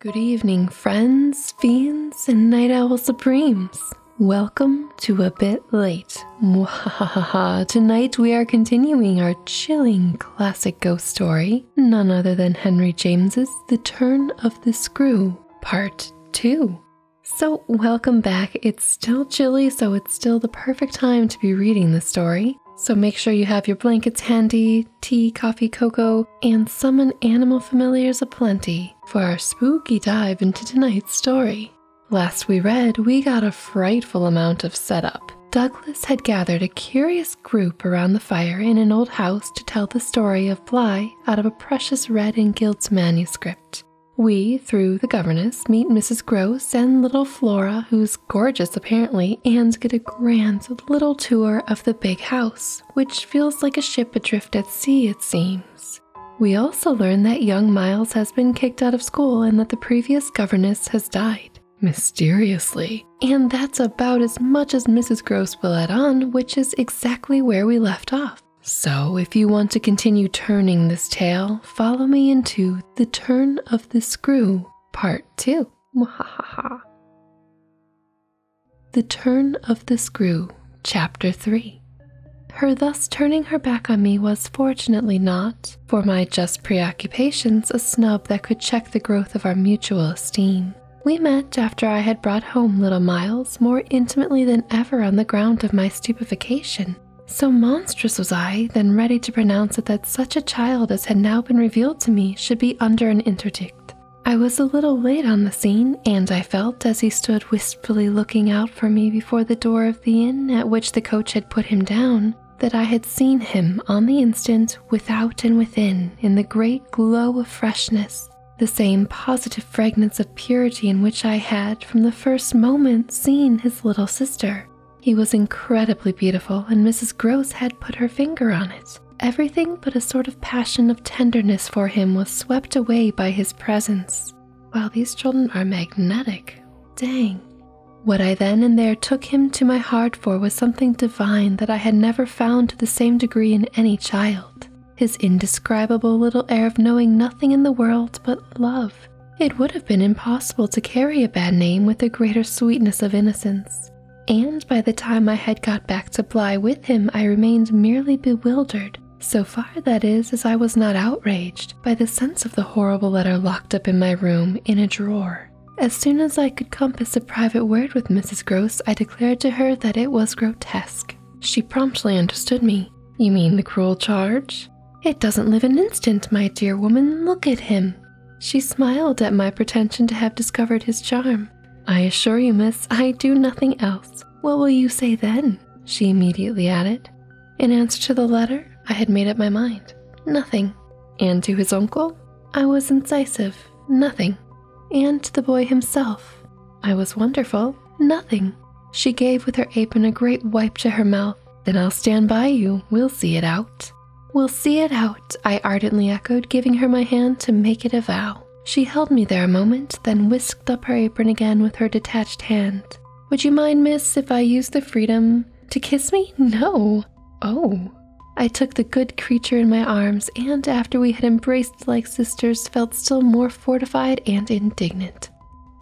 Good evening, friends, fiends, and night owl supremes. Welcome to a bit late. ha ha ha Tonight we are continuing our chilling classic ghost story, none other than Henry James's The Turn of the Screw, Part 2. So, welcome back. It's still chilly, so it's still the perfect time to be reading the story. So, make sure you have your blankets handy, tea, coffee, cocoa, and summon animal familiars aplenty for our spooky dive into tonight's story. Last we read, we got a frightful amount of setup. Douglas had gathered a curious group around the fire in an old house to tell the story of Bligh out of a precious Red and gilt manuscript. We, through the governess, meet Mrs. Gross and little Flora, who's gorgeous apparently, and get a grand little tour of the big house which feels like a ship adrift at sea, it seems. We also learn that young Miles has been kicked out of school and that the previous governess has died, mysteriously. And that's about as much as Mrs. Gross will add on, which is exactly where we left off. So, if you want to continue turning this tale, follow me into The Turn of the Screw, Part 2. The Turn of the Screw, Chapter 3. Her thus turning her back on me was fortunately not, for my just preoccupations, a snub that could check the growth of our mutual esteem. We met after I had brought home little Miles more intimately than ever on the ground of my stupefaction. So monstrous was I, then ready to pronounce it that such a child as had now been revealed to me should be under an interdict. I was a little late on the scene, and I felt as he stood wistfully looking out for me before the door of the inn at which the coach had put him down, that I had seen him on the instant, without and within, in the great glow of freshness, the same positive fragrance of purity in which I had, from the first moment, seen his little sister. He was incredibly beautiful, and Mrs. Gross had put her finger on it. Everything but a sort of passion of tenderness for him was swept away by his presence. While these children are magnetic. Dang. What I then and there took him to my heart for was something divine that I had never found to the same degree in any child. His indescribable little air of knowing nothing in the world but love. It would have been impossible to carry a bad name with a greater sweetness of innocence and by the time I had got back to Bly with him, I remained merely bewildered, so far that is, as I was not outraged by the sense of the horrible letter locked up in my room in a drawer. As soon as I could compass a private word with Mrs. Gross, I declared to her that it was grotesque. She promptly understood me. You mean the cruel charge? It doesn't live an instant, my dear woman. Look at him. She smiled at my pretension to have discovered his charm. I assure you, miss, I do nothing else. What will you say then? She immediately added. In answer to the letter, I had made up my mind. Nothing. And to his uncle, I was incisive. Nothing. And to the boy himself, I was wonderful. Nothing. She gave with her apron a great wipe to her mouth. Then I'll stand by you. We'll see it out. We'll see it out, I ardently echoed, giving her my hand to make it a vow. She held me there a moment, then whisked up her apron again with her detached hand. Would you mind, miss, if I used the freedom to kiss me? No. Oh. I took the good creature in my arms, and after we had embraced like sisters, felt still more fortified and indignant.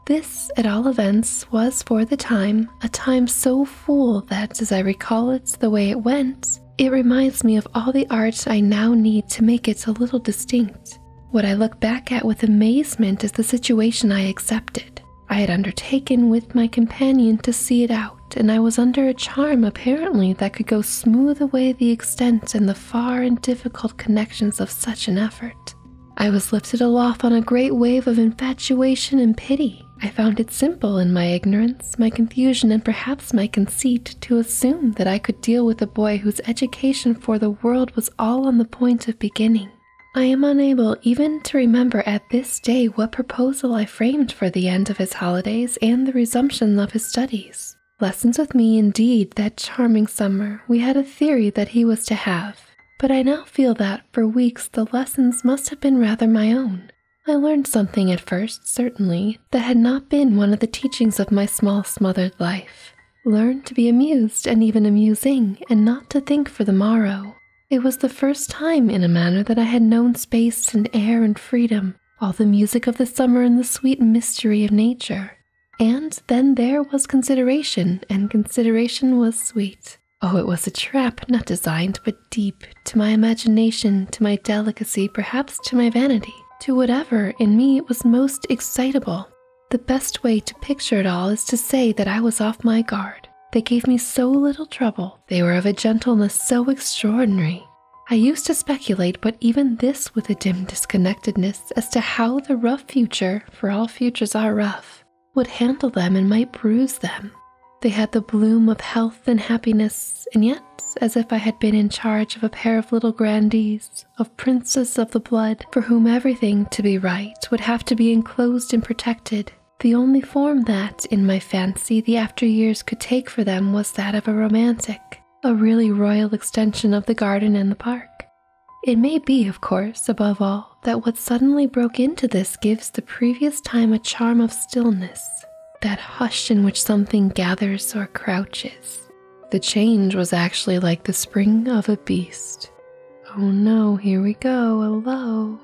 This, at all events, was for the time, a time so full that, as I recall it, the way it went, it reminds me of all the arts I now need to make it a little distinct. What I look back at with amazement is the situation I accepted. I had undertaken with my companion to see it out, and I was under a charm apparently that could go smooth away the extent and the far and difficult connections of such an effort. I was lifted aloft on a great wave of infatuation and pity, I found it simple in my ignorance, my confusion, and perhaps my conceit to assume that I could deal with a boy whose education for the world was all on the point of beginning. I am unable even to remember at this day what proposal I framed for the end of his holidays and the resumption of his studies. Lessons with me, indeed, that charming summer, we had a theory that he was to have, but I now feel that for weeks the lessons must have been rather my own. I learned something at first, certainly, that had not been one of the teachings of my small, smothered life. Learned to be amused and even amusing, and not to think for the morrow. It was the first time, in a manner, that I had known space and air and freedom, all the music of the summer and the sweet mystery of nature. And then there was consideration, and consideration was sweet. Oh, it was a trap, not designed, but deep, to my imagination, to my delicacy, perhaps to my vanity, to whatever in me was most excitable. The best way to picture it all is to say that I was off my guard. They gave me so little trouble, they were of a gentleness so extraordinary. I used to speculate, but even this with a dim disconnectedness, as to how the rough future, for all futures are rough, would handle them and might bruise them. They had the bloom of health and happiness, and yet, as if I had been in charge of a pair of little grandees, of princes of the blood, for whom everything to be right would have to be enclosed and protected. The only form that, in my fancy, the after years could take for them was that of a romantic, a really royal extension of the garden and the park. It may be, of course, above all, that what suddenly broke into this gives the previous time a charm of stillness, that hush in which something gathers or crouches. The change was actually like the spring of a beast. Oh no, here we go, hello.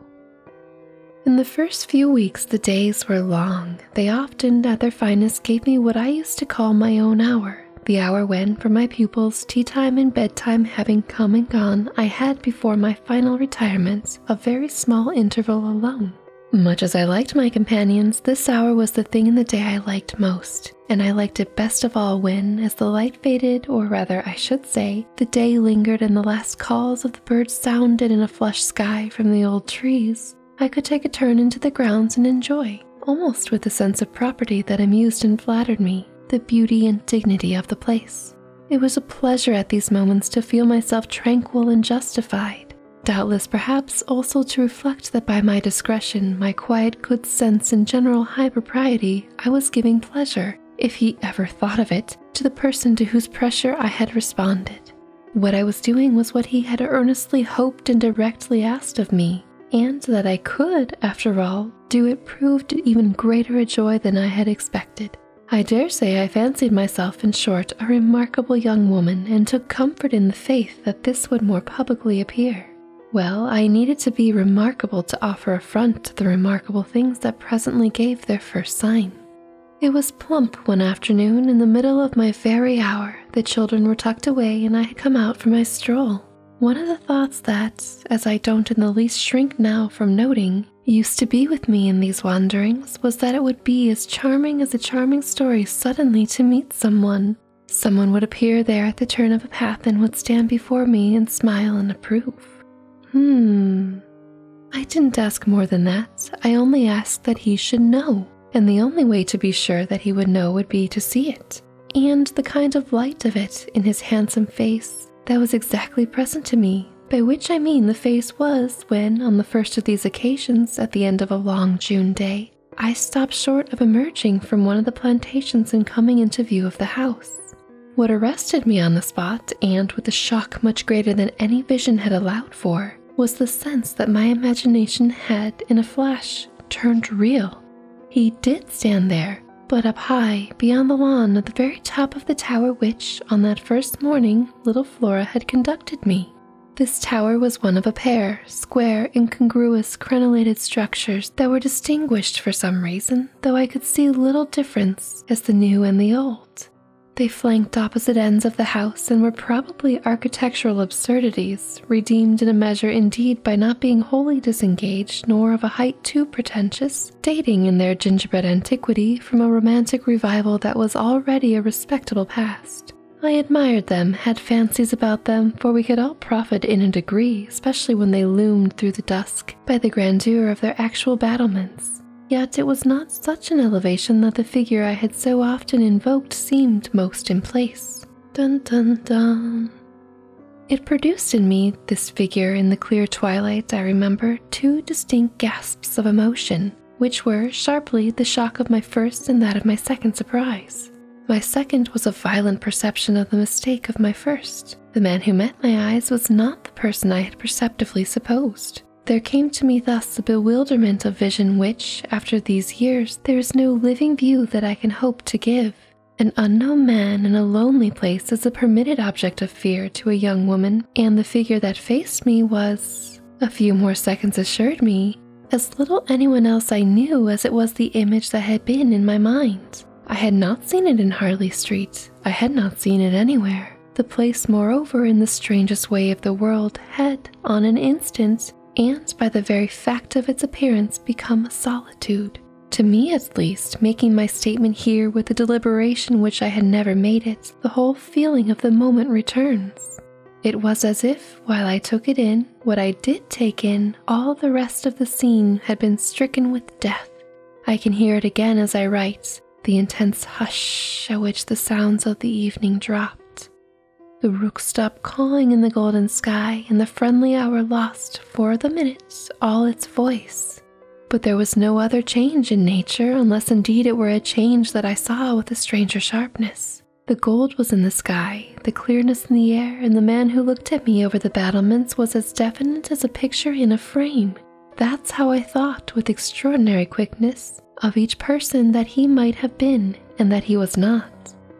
In the first few weeks, the days were long. They often, at their finest, gave me what I used to call my own hour the hour when, for my pupils, tea time and bedtime having come and gone, I had before my final retirements a very small interval alone. Much as I liked my companions, this hour was the thing in the day I liked most, and I liked it best of all when, as the light faded, or rather, I should say, the day lingered and the last calls of the birds sounded in a flushed sky from the old trees, I could take a turn into the grounds and enjoy, almost with a sense of property that amused and flattered me, the beauty and dignity of the place. It was a pleasure at these moments to feel myself tranquil and justified. Doubtless, perhaps, also to reflect that by my discretion, my quiet good sense, and general high propriety, I was giving pleasure, if he ever thought of it, to the person to whose pressure I had responded. What I was doing was what he had earnestly hoped and directly asked of me, and that I could, after all, do it proved even greater a joy than I had expected. I dare say I fancied myself, in short, a remarkable young woman, and took comfort in the faith that this would more publicly appear. Well, I needed to be remarkable to offer a front to the remarkable things that presently gave their first sign. It was plump one afternoon, in the middle of my very hour, the children were tucked away, and I had come out for my stroll. One of the thoughts that, as I don't in the least shrink now from noting, used to be with me in these wanderings was that it would be as charming as a charming story suddenly to meet someone. Someone would appear there at the turn of a path and would stand before me and smile and approve. Hmm. I didn't ask more than that. I only asked that he should know. And the only way to be sure that he would know would be to see it. And the kind of light of it in his handsome face that was exactly present to me by which I mean the face was when, on the first of these occasions, at the end of a long June day, I stopped short of emerging from one of the plantations and coming into view of the house. What arrested me on the spot, and with a shock much greater than any vision had allowed for, was the sense that my imagination had, in a flash, turned real. He did stand there, but up high, beyond the lawn, at the very top of the tower which, on that first morning, little Flora had conducted me. This tower was one of a pair, square, incongruous, crenellated structures that were distinguished for some reason, though I could see little difference as the new and the old. They flanked opposite ends of the house and were probably architectural absurdities, redeemed in a measure indeed by not being wholly disengaged nor of a height too pretentious, dating in their gingerbread antiquity from a romantic revival that was already a respectable past. I admired them, had fancies about them, for we could all profit in a degree, especially when they loomed through the dusk by the grandeur of their actual battlements. Yet it was not such an elevation that the figure I had so often invoked seemed most in place. Dun dun dun. It produced in me, this figure in the clear twilight, I remember, two distinct gasps of emotion which were sharply the shock of my first and that of my second surprise. My second was a violent perception of the mistake of my first. The man who met my eyes was not the person I had perceptively supposed. There came to me thus the bewilderment of vision which, after these years, there is no living view that I can hope to give. An unknown man in a lonely place is a permitted object of fear to a young woman, and the figure that faced me was a few more seconds assured me, as little anyone else I knew as it was the image that had been in my mind. I had not seen it in Harley Street. I had not seen it anywhere. The place, moreover, in the strangest way of the world, had, on an instant, and by the very fact of its appearance, become a solitude. To me, at least, making my statement here with a deliberation which I had never made it, the whole feeling of the moment returns. It was as if, while I took it in, what I did take in, all the rest of the scene had been stricken with death. I can hear it again as I write, the intense hush at which the sounds of the evening dropped. The rook stopped calling in the golden sky, and the friendly hour lost, for the minutes all its voice. But there was no other change in nature, unless indeed it were a change that I saw with a stranger sharpness. The gold was in the sky, the clearness in the air, and the man who looked at me over the battlements was as definite as a picture in a frame. That's how I thought, with extraordinary quickness, of each person that he might have been and that he was not.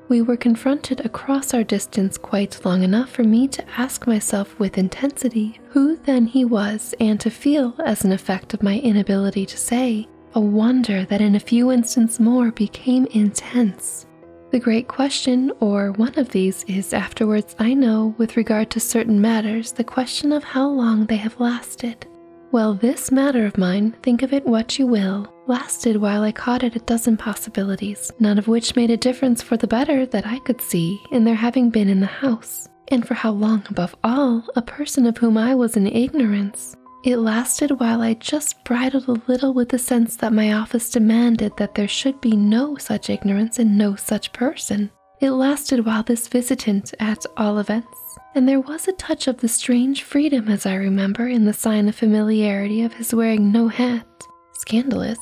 We were confronted across our distance quite long enough for me to ask myself with intensity who then he was, and to feel, as an effect of my inability to say, a wonder that in a few instants more became intense. The great question, or one of these, is afterwards I know, with regard to certain matters, the question of how long they have lasted. Well, this matter of mine, think of it what you will, lasted while I caught at a dozen possibilities, none of which made a difference for the better that I could see in their having been in the house and for how long above all, a person of whom I was in ignorance. It lasted while I just bridled a little with the sense that my office demanded that there should be no such ignorance and no such person. It lasted while this visitant, at all events, and there was a touch of the strange freedom, as I remember, in the sign of familiarity of his wearing no hat, scandalous,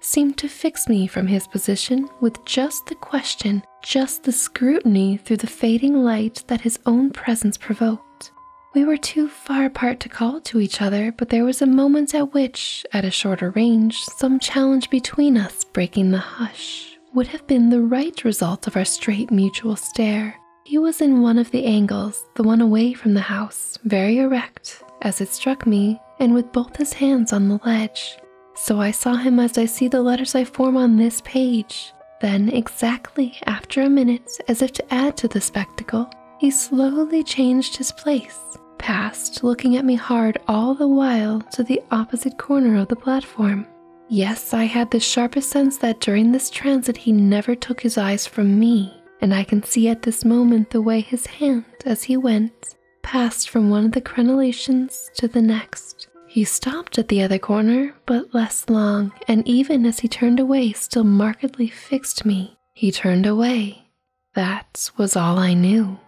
seemed to fix me from his position with just the question just the scrutiny through the fading light that his own presence provoked. We were too far apart to call to each other, but there was a moment at which, at a shorter range, some challenge between us, breaking the hush, would have been the right result of our straight mutual stare. He was in one of the angles, the one away from the house, very erect, as it struck me, and with both his hands on the ledge. So I saw him as I see the letters I form on this page. Then, exactly after a minute, as if to add to the spectacle, he slowly changed his place, passed, looking at me hard all the while, to the opposite corner of the platform. Yes, I had the sharpest sense that during this transit he never took his eyes from me, and I can see at this moment the way his hand, as he went, passed from one of the crenellations to the next. He stopped at the other corner, but less long, and even as he turned away, still markedly fixed me. He turned away. That was all I knew.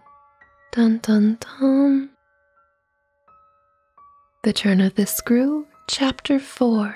Dun dun dun. The Turn of the Screw, Chapter 4.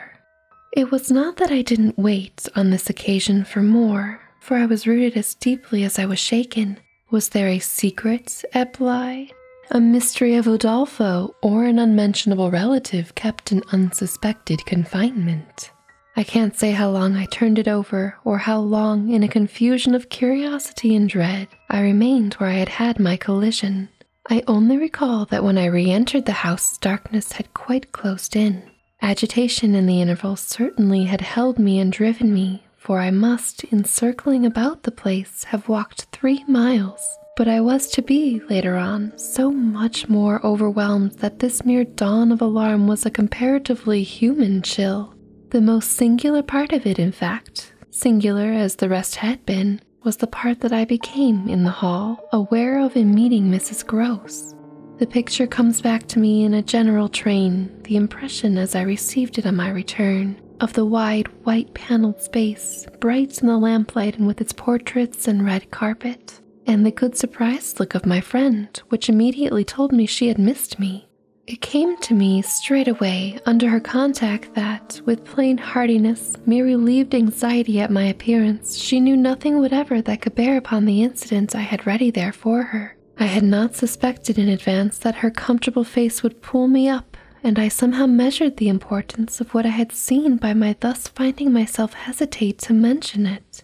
It was not that I didn't wait on this occasion for more, for I was rooted as deeply as I was shaken, was there a secret eblie, A mystery of Udolpho or an unmentionable relative kept in unsuspected confinement? I can't say how long I turned it over, or how long, in a confusion of curiosity and dread, I remained where I had had my collision. I only recall that when I re entered the house, darkness had quite closed in. Agitation in the interval certainly had held me and driven me, for I must, in circling about the place, have walked three miles. But I was to be, later on, so much more overwhelmed that this mere dawn of alarm was a comparatively human chill. The most singular part of it, in fact, singular as the rest had been, was the part that I became, in the hall, aware of in meeting Mrs. Gross. The picture comes back to me in a general train, the impression as I received it on my return of the wide, white paneled space, bright in the lamplight and with its portraits and red carpet, and the good surprised look of my friend, which immediately told me she had missed me. It came to me straight away under her contact that, with plain heartiness, mere relieved anxiety at my appearance, she knew nothing whatever that could bear upon the incidents I had ready there for her. I had not suspected in advance that her comfortable face would pull me up, and I somehow measured the importance of what I had seen by my thus finding myself hesitate to mention it.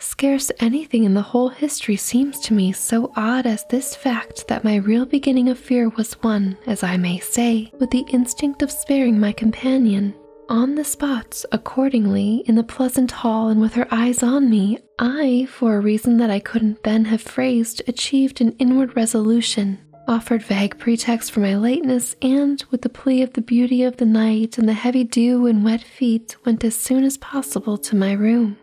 Scarce anything in the whole history seems to me so odd as this fact that my real beginning of fear was one, as I may say, with the instinct of sparing my companion. On the spots accordingly, in the pleasant hall and with her eyes on me, I, for a reason that I couldn't then have phrased, achieved an inward resolution, offered vague pretexts for my lateness, and, with the plea of the beauty of the night and the heavy dew and wet feet, went as soon as possible to my room.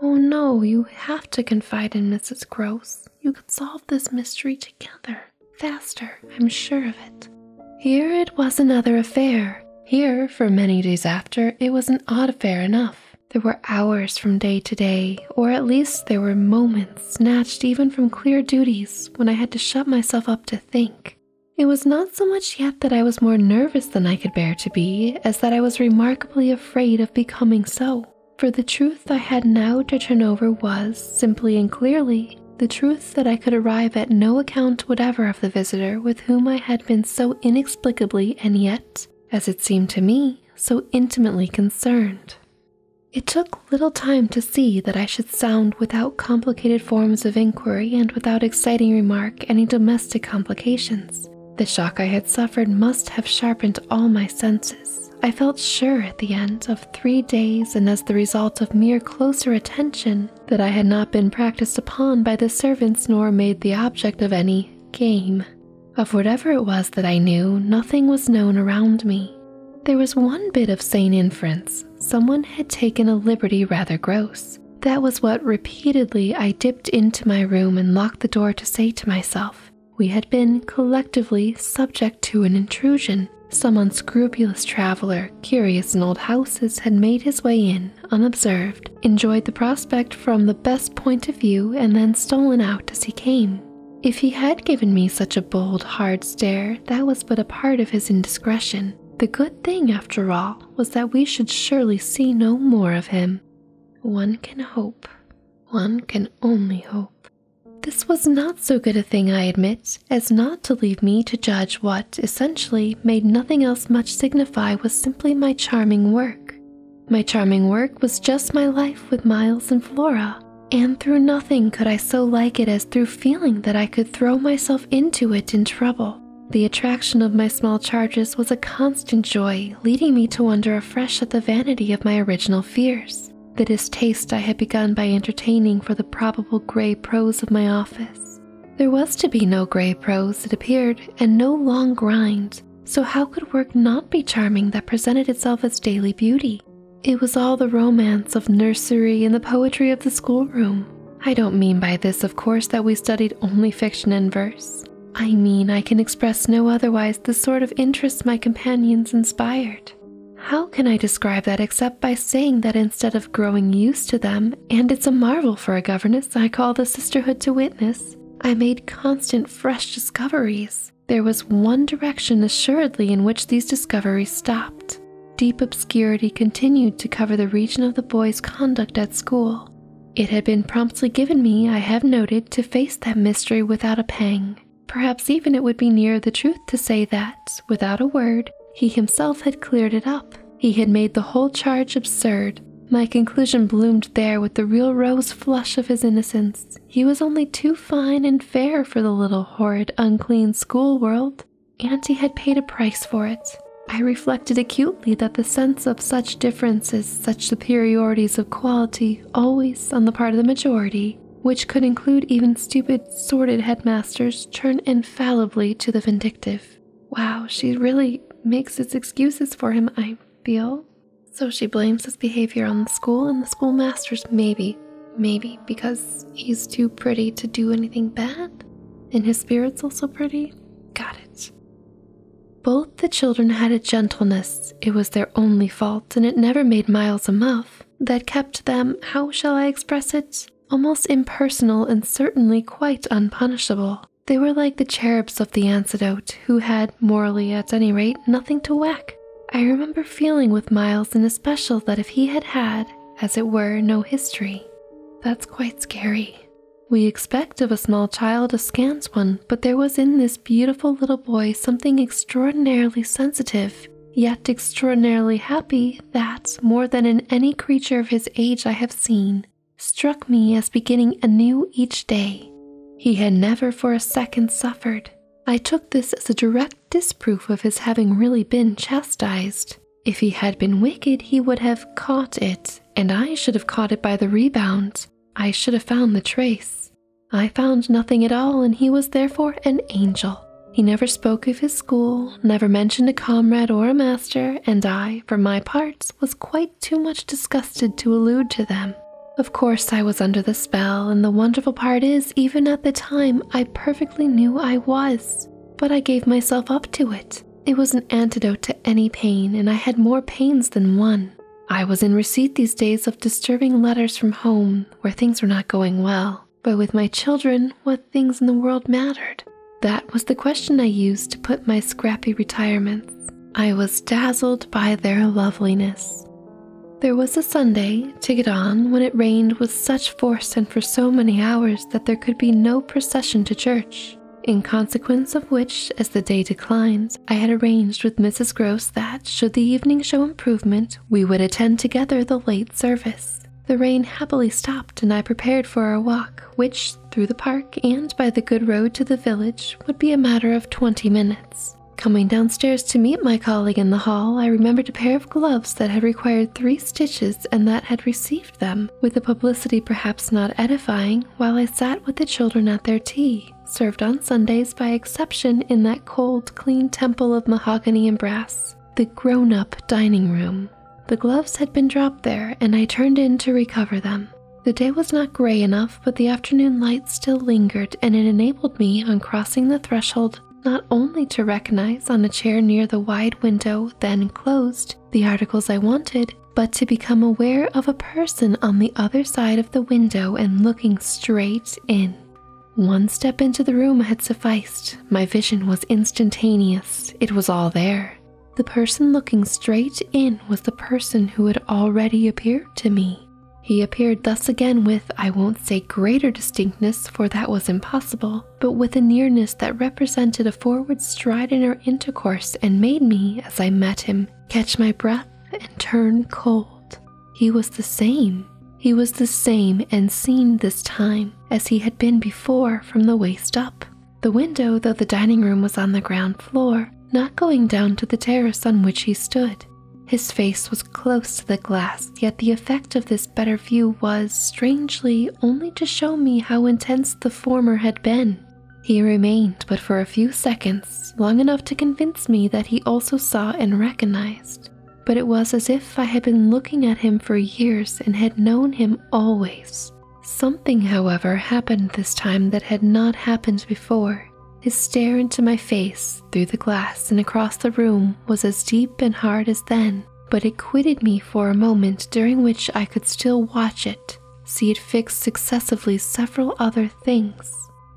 Oh no, you have to confide in Mrs. Gross. You could solve this mystery together. Faster, I'm sure of it. Here it was another affair. Here, for many days after, it was an odd affair enough. There were hours from day to day, or at least there were moments snatched even from clear duties when I had to shut myself up to think. It was not so much yet that I was more nervous than I could bear to be, as that I was remarkably afraid of becoming so. For the truth I had now to turn over was, simply and clearly, the truth that I could arrive at no account whatever of the visitor with whom I had been so inexplicably and yet, as it seemed to me, so intimately concerned. It took little time to see that I should sound without complicated forms of inquiry and without exciting remark any domestic complications. The shock I had suffered must have sharpened all my senses. I felt sure at the end of three days, and as the result of mere closer attention, that I had not been practiced upon by the servants nor made the object of any game. Of whatever it was that I knew, nothing was known around me. There was one bit of sane inference someone had taken a liberty rather gross. That was what repeatedly I dipped into my room and locked the door to say to myself. We had been collectively subject to an intrusion. Some unscrupulous traveler, curious in old houses, had made his way in unobserved enjoyed the prospect from the best point of view, and then stolen out as he came. If he had given me such a bold, hard stare, that was but a part of his indiscretion. The good thing, after all, was that we should surely see no more of him. One can hope. One can only hope. This was not so good a thing, I admit, as not to leave me to judge what, essentially, made nothing else much signify was simply my charming work. My charming work was just my life with Miles and Flora, and through nothing could I so like it as through feeling that I could throw myself into it in trouble. The attraction of my small charges was a constant joy, leading me to wonder afresh at the vanity of my original fears, the distaste I had begun by entertaining for the probable gray prose of my office. There was to be no gray prose, it appeared, and no long grinds so how could work not be charming that presented itself as daily beauty? It was all the romance of nursery and the poetry of the schoolroom. I don't mean by this, of course, that we studied only fiction and verse. I mean, I can express no otherwise the sort of interest my companions inspired. How can I describe that except by saying that instead of growing used to them, and it's a marvel for a governess I call the sisterhood to witness, I made constant fresh discoveries. There was one direction assuredly in which these discoveries stopped. Deep obscurity continued to cover the region of the boy's conduct at school. It had been promptly given me, I have noted, to face that mystery without a pang. Perhaps even it would be nearer the truth to say that, without a word, he himself had cleared it up. He had made the whole charge absurd, my conclusion bloomed there with the real rose flush of his innocence. He was only too fine and fair for the little horrid, unclean school world, and he had paid a price for it. I reflected acutely that the sense of such differences, such superiorities of quality, always on the part of the majority, which could include even stupid, sordid headmasters, turned infallibly to the vindictive. Wow, she really makes his excuses for him, I feel. So she blames his behavior on the school and the schoolmaster's maybe, maybe because he's too pretty to do anything bad, and his spirit's also pretty. Got it. Both the children had a gentleness, it was their only fault, and it never made Miles a muff, that kept them, how shall I express it, almost impersonal and certainly quite unpunishable. They were like the cherubs of the antidote, who had, morally at any rate, nothing to whack. I remember feeling with Miles in especial that if he had had, as it were, no history, that's quite scary. We expect of a small child a scant one, but there was in this beautiful little boy something extraordinarily sensitive, yet extraordinarily happy that, more than in any creature of his age I have seen, struck me as beginning anew each day. He had never for a second suffered. I took this as a direct disproof of his having really been chastised. If he had been wicked, he would have caught it, and I should have caught it by the rebound. I should have found the trace. I found nothing at all, and he was therefore an angel. He never spoke of his school, never mentioned a comrade or a master, and I, for my parts, was quite too much disgusted to allude to them. Of course, I was under the spell, and the wonderful part is, even at the time, I perfectly knew I was. But I gave myself up to it. It was an antidote to any pain, and I had more pains than one. I was in receipt these days of disturbing letters from home where things were not going well. But with my children, what things in the world mattered? That was the question I used to put my scrappy retirements. I was dazzled by their loveliness. There was a Sunday to get on when it rained with such force and for so many hours that there could be no procession to church, in consequence of which, as the day declined, I had arranged with Mrs. Gross that, should the evening show improvement, we would attend together the late service. The rain happily stopped, and I prepared for our walk, which, through the park and by the good road to the village, would be a matter of twenty minutes. Coming downstairs to meet my colleague in the hall, I remembered a pair of gloves that had required three stitches and that had received them, with a publicity perhaps not edifying, while I sat with the children at their tea, served on Sundays by exception in that cold, clean temple of mahogany and brass, the grown up dining room. The gloves had been dropped there, and I turned in to recover them. The day was not gray enough, but the afternoon light still lingered, and it enabled me, on crossing the threshold, not only to recognize on a chair near the wide window then closed the articles I wanted, but to become aware of a person on the other side of the window and looking straight in. One step into the room had sufficed. My vision was instantaneous. It was all there. The person looking straight in was the person who had already appeared to me. He appeared thus again with, I won't say greater distinctness, for that was impossible, but with a nearness that represented a forward stride in our intercourse and made me, as I met him, catch my breath and turn cold. He was the same. He was the same and seen this time as he had been before from the waist up, the window, though the dining room was on the ground floor, not going down to the terrace on which he stood. His face was close to the glass, yet the effect of this better view was, strangely, only to show me how intense the former had been. He remained but for a few seconds, long enough to convince me that he also saw and recognized. But it was as if I had been looking at him for years and had known him always. Something, however, happened this time that had not happened before. His stare into my face, through the glass and across the room, was as deep and hard as then, but it quitted me for a moment during which I could still watch it, see it fix successively several other things.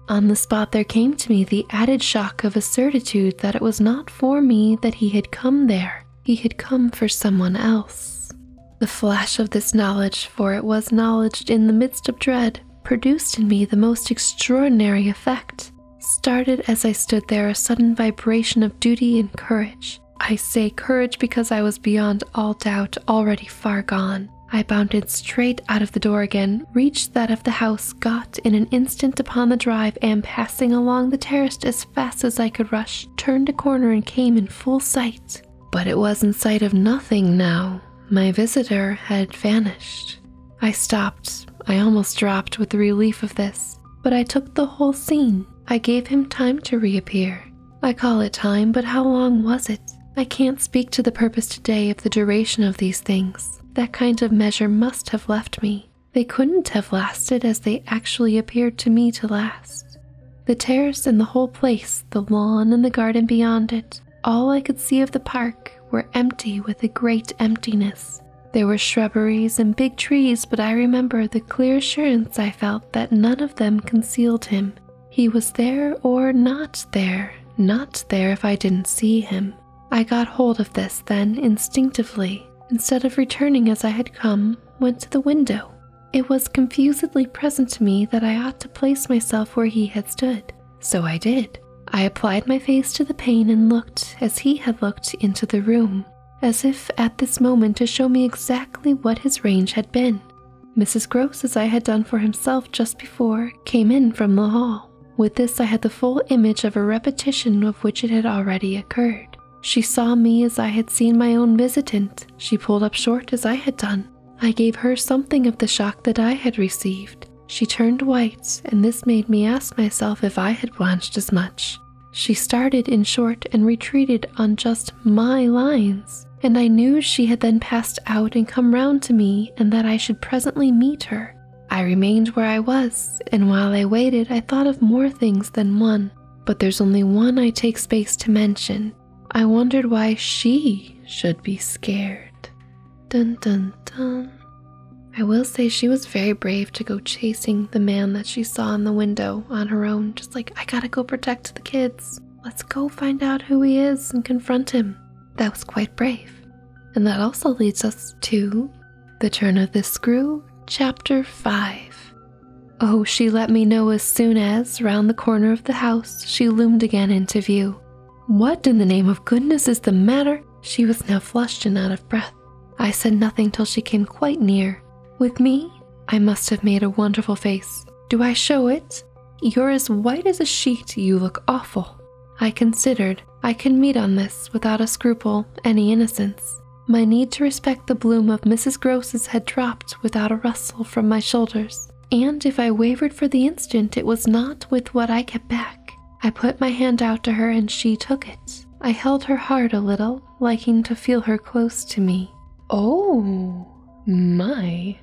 On the spot, there came to me the added shock of a certitude that it was not for me that he had come there, he had come for someone else. The flash of this knowledge, for it was knowledge in the midst of dread, produced in me the most extraordinary effect. Started as I stood there a sudden vibration of duty and courage. I say courage because I was beyond all doubt already far gone. I bounded straight out of the door again, reached that of the house, got in an instant upon the drive, and passing along the terrace as fast as I could rush, turned a corner and came in full sight but it was in sight of nothing now. My visitor had vanished. I stopped. I almost dropped with the relief of this, but I took the whole scene. I gave him time to reappear. I call it time, but how long was it? I can't speak to the purpose today of the duration of these things. That kind of measure must have left me. They couldn't have lasted as they actually appeared to me to last. The terrace and the whole place, the lawn and the garden beyond it, all I could see of the park were empty with a great emptiness. There were shrubberies and big trees, but I remember the clear assurance I felt that none of them concealed him. He was there or not there, not there if I didn't see him. I got hold of this then instinctively. Instead of returning as I had come, went to the window. It was confusedly present to me that I ought to place myself where he had stood, so I did. I applied my face to the pane and looked, as he had looked, into the room, as if at this moment to show me exactly what his range had been. Mrs. Gross, as I had done for himself just before, came in from the hall. With this, I had the full image of a repetition of which it had already occurred. She saw me as I had seen my own visitant. She pulled up short as I had done. I gave her something of the shock that I had received. She turned white, and this made me ask myself if I had blanched as much. She started in short and retreated on just my lines, and I knew she had then passed out and come round to me, and that I should presently meet her. I remained where I was, and while I waited, I thought of more things than one, but there's only one I take space to mention, I wondered why she should be scared. Dun dun dun. I will say she was very brave to go chasing the man that she saw in the window on her own, just like, I gotta go protect the kids. Let's go find out who he is and confront him. That was quite brave. And that also leads us to The Turn of the Screw, Chapter 5 Oh, she let me know as soon as, round the corner of the house, she loomed again into view. What in the name of goodness is the matter? She was now flushed and out of breath. I said nothing till she came quite near. With me? I must have made a wonderful face. Do I show it? You're as white as a sheet, you look awful. I considered I can meet on this without a scruple, any innocence. My need to respect the bloom of Mrs. Gross's had dropped without a rustle from my shoulders, and if I wavered for the instant, it was not with what I kept back. I put my hand out to her and she took it. I held her hard a little, liking to feel her close to me. Oh, my.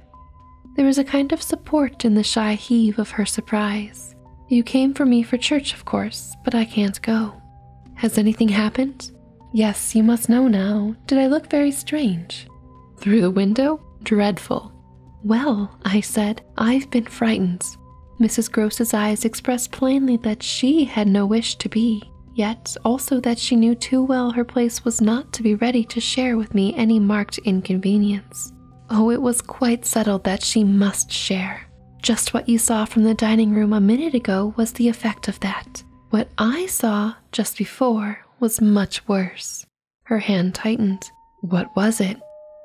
There was a kind of support in the shy heave of her surprise. You came for me for church, of course, but I can't go. Has anything happened? Yes, you must know now. Did I look very strange? Through the window? Dreadful. Well, I said, I've been frightened. Mrs. Gross's eyes expressed plainly that she had no wish to be, yet also that she knew too well her place was not to be ready to share with me any marked inconvenience. Oh, it was quite settled that she must share. Just what you saw from the dining room a minute ago was the effect of that. What I saw just before was much worse. Her hand tightened. What was it?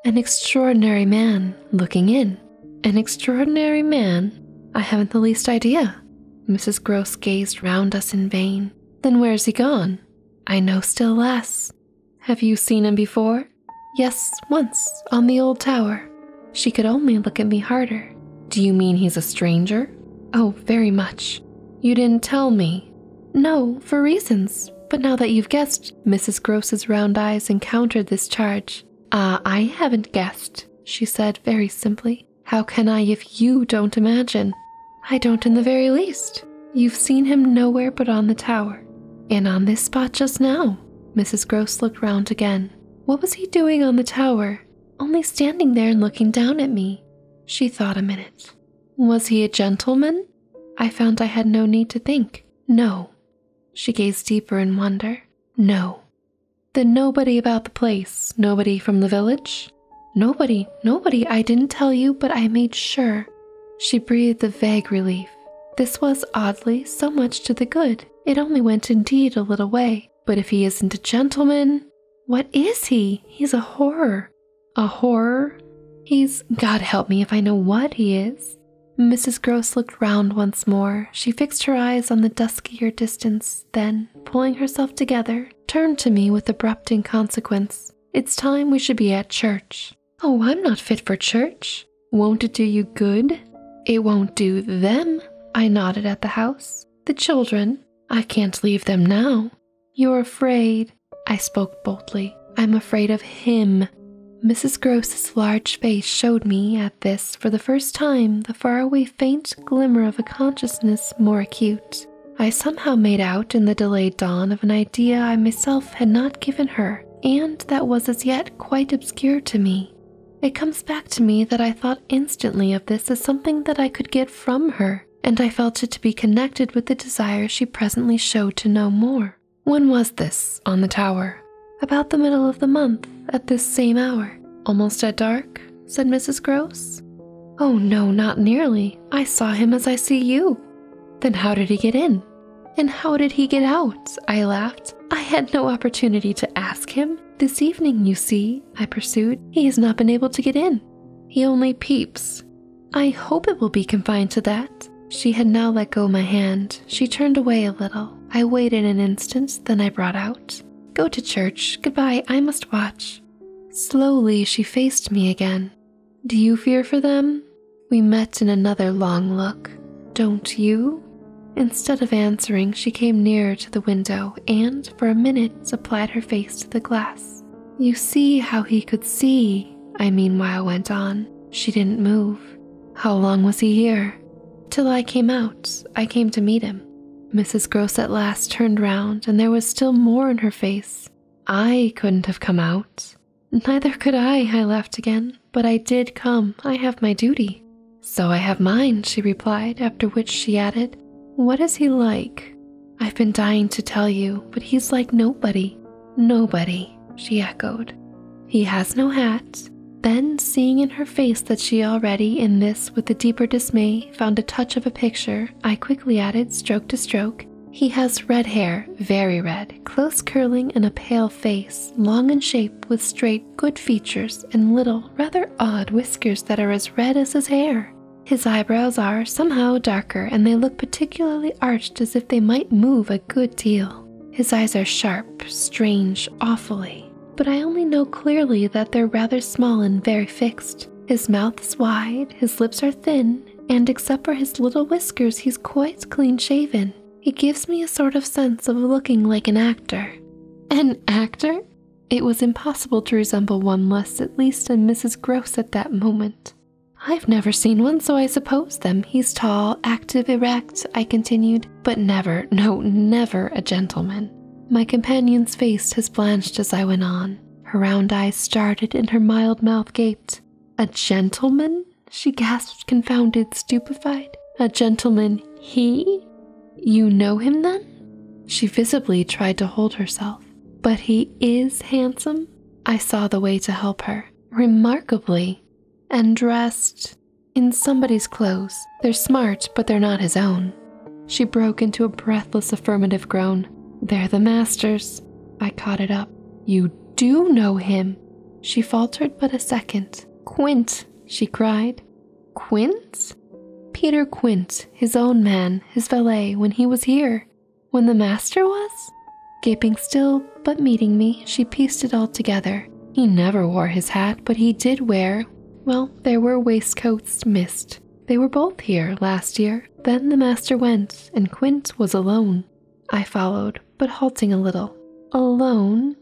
An extraordinary man looking in. An extraordinary man? I haven't the least idea. Mrs. Gross gazed round us in vain. Then where's he gone? I know still less. Have you seen him before? Yes, once, on the old tower. She could only look at me harder. Do you mean he's a stranger? Oh, very much. You didn't tell me. No, for reasons. But now that you've guessed, Mrs. Gross's round eyes encountered this charge. Ah, I haven't guessed, she said very simply. How can I if you don't imagine? I don't in the very least. You've seen him nowhere but on the tower. And on this spot just now. Mrs. Gross looked round again. What was he doing on the tower? only standing there and looking down at me. She thought a minute. Was he a gentleman? I found I had no need to think. No. She gazed deeper in wonder. No. Then nobody about the place, nobody from the village? Nobody, nobody. I didn't tell you, but I made sure. She breathed a vague relief. This was, oddly, so much to the good. It only went indeed a little way. But if he isn't a gentleman, what is he? He's a horror. A horror? He's, God help me if I know what he is. Mrs. Gross looked round once more. She fixed her eyes on the duskier distance, then, pulling herself together, turned to me with abrupt inconsequence. It's time we should be at church. Oh, I'm not fit for church. Won't it do you good? It won't do them, I nodded at the house. The children, I can't leave them now. You're afraid. I spoke boldly. I'm afraid of him. Mrs. Gross's large face showed me at this for the first time the faraway faint glimmer of a consciousness more acute. I somehow made out in the delayed dawn of an idea I myself had not given her, and that was as yet quite obscure to me. It comes back to me that I thought instantly of this as something that I could get from her, and I felt it to be connected with the desire she presently showed to know more. When was this on the tower? About the middle of the month, at this same hour. Almost at dark? said Mrs. Gross. Oh, no, not nearly. I saw him as I see you. Then how did he get in? And how did he get out? I laughed. I had no opportunity to ask him. This evening, you see, I pursued, he has not been able to get in. He only peeps. I hope it will be confined to that. She had now let go my hand. She turned away a little. I waited an instant, then I brought out, Go to church. Goodbye. I must watch. Slowly she faced me again. Do you fear for them? We met in another long look. Don't you? Instead of answering, she came nearer to the window and, for a minute applied her face to the glass. You see how he could see, I meanwhile went on. She didn't move. How long was he here? Till I came out. I came to meet him. Mrs. Gross at last turned round, and there was still more in her face. I couldn't have come out. Neither could I, I laughed again. But I did come. I have my duty. So I have mine, she replied, after which she added, What is he like? I've been dying to tell you, but he's like nobody. Nobody, she echoed. He has no hat. Then, seeing in her face that she already, in this with a deeper dismay, found a touch of a picture, I quickly added, stroke to stroke, He has red hair, very red, close curling, and a pale face, long in shape, with straight, good features, and little, rather odd whiskers that are as red as his hair. His eyebrows are somehow darker and they look particularly arched as if they might move a good deal. His eyes are sharp, strange, awfully, but I only know clearly that they're rather small and very fixed. His mouth is wide, his lips are thin, and except for his little whiskers, he's quite clean shaven. He gives me a sort of sense of looking like an actor. An actor? It was impossible to resemble one less, at least in Mrs. Gross at that moment. I've never seen one, so I suppose them. He's tall, active, erect, I continued, but never, no, never a gentleman. My companion's face has blanched as I went on. Her round eyes started and her mild mouth gaped. A gentleman? She gasped, confounded, stupefied. A gentleman, he? You know him then? She visibly tried to hold herself. But he is handsome? I saw the way to help her. Remarkably. And dressed in somebody's clothes. They're smart, but they're not his own. She broke into a breathless affirmative groan. They're the masters. I caught it up. You do know him. She faltered but a second. Quint, she cried. Quint, Peter Quint, his own man, his valet, when he was here, when the master was? Gaping still, but meeting me, she pieced it all together. He never wore his hat, but he did wear, well, there were waistcoats missed. They were both here last year. Then the master went, and Quint was alone. I followed, but halting a little. Alone?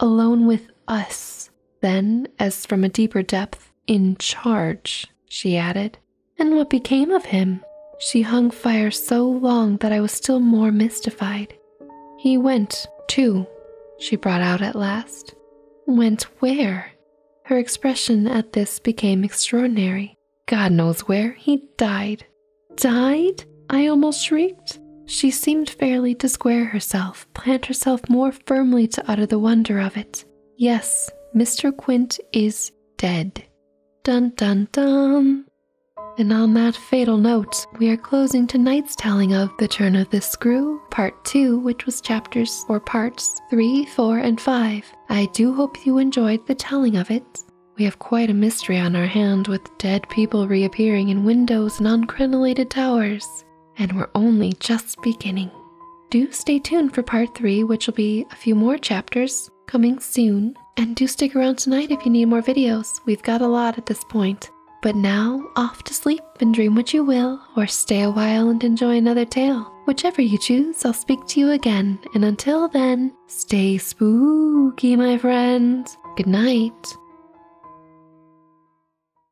Alone with us. Then, as from a deeper depth, in charge, she added. And what became of him? She hung fire so long that I was still more mystified. He went, too, she brought out at last. Went where? Her expression at this became extraordinary. God knows where. He died. Died? I almost shrieked. She seemed fairly to square herself, plant herself more firmly to utter the wonder of it. Yes, Mr. Quint is dead. Dun dun dun! And on that fatal note, we are closing tonight's telling of The Turn of the Screw, Part 2, which was chapters or parts 3, 4, and 5. I do hope you enjoyed the telling of it. We have quite a mystery on our hand with dead people reappearing in windows and on crenellated towers. And we're only just beginning. Do stay tuned for part 3, which will be a few more chapters coming soon. And do stick around tonight if you need more videos. We've got a lot at this point. But now, off to sleep and dream what you will, or stay a while and enjoy another tale. Whichever you choose, I'll speak to you again. And until then, stay spooky, my friends. Good night.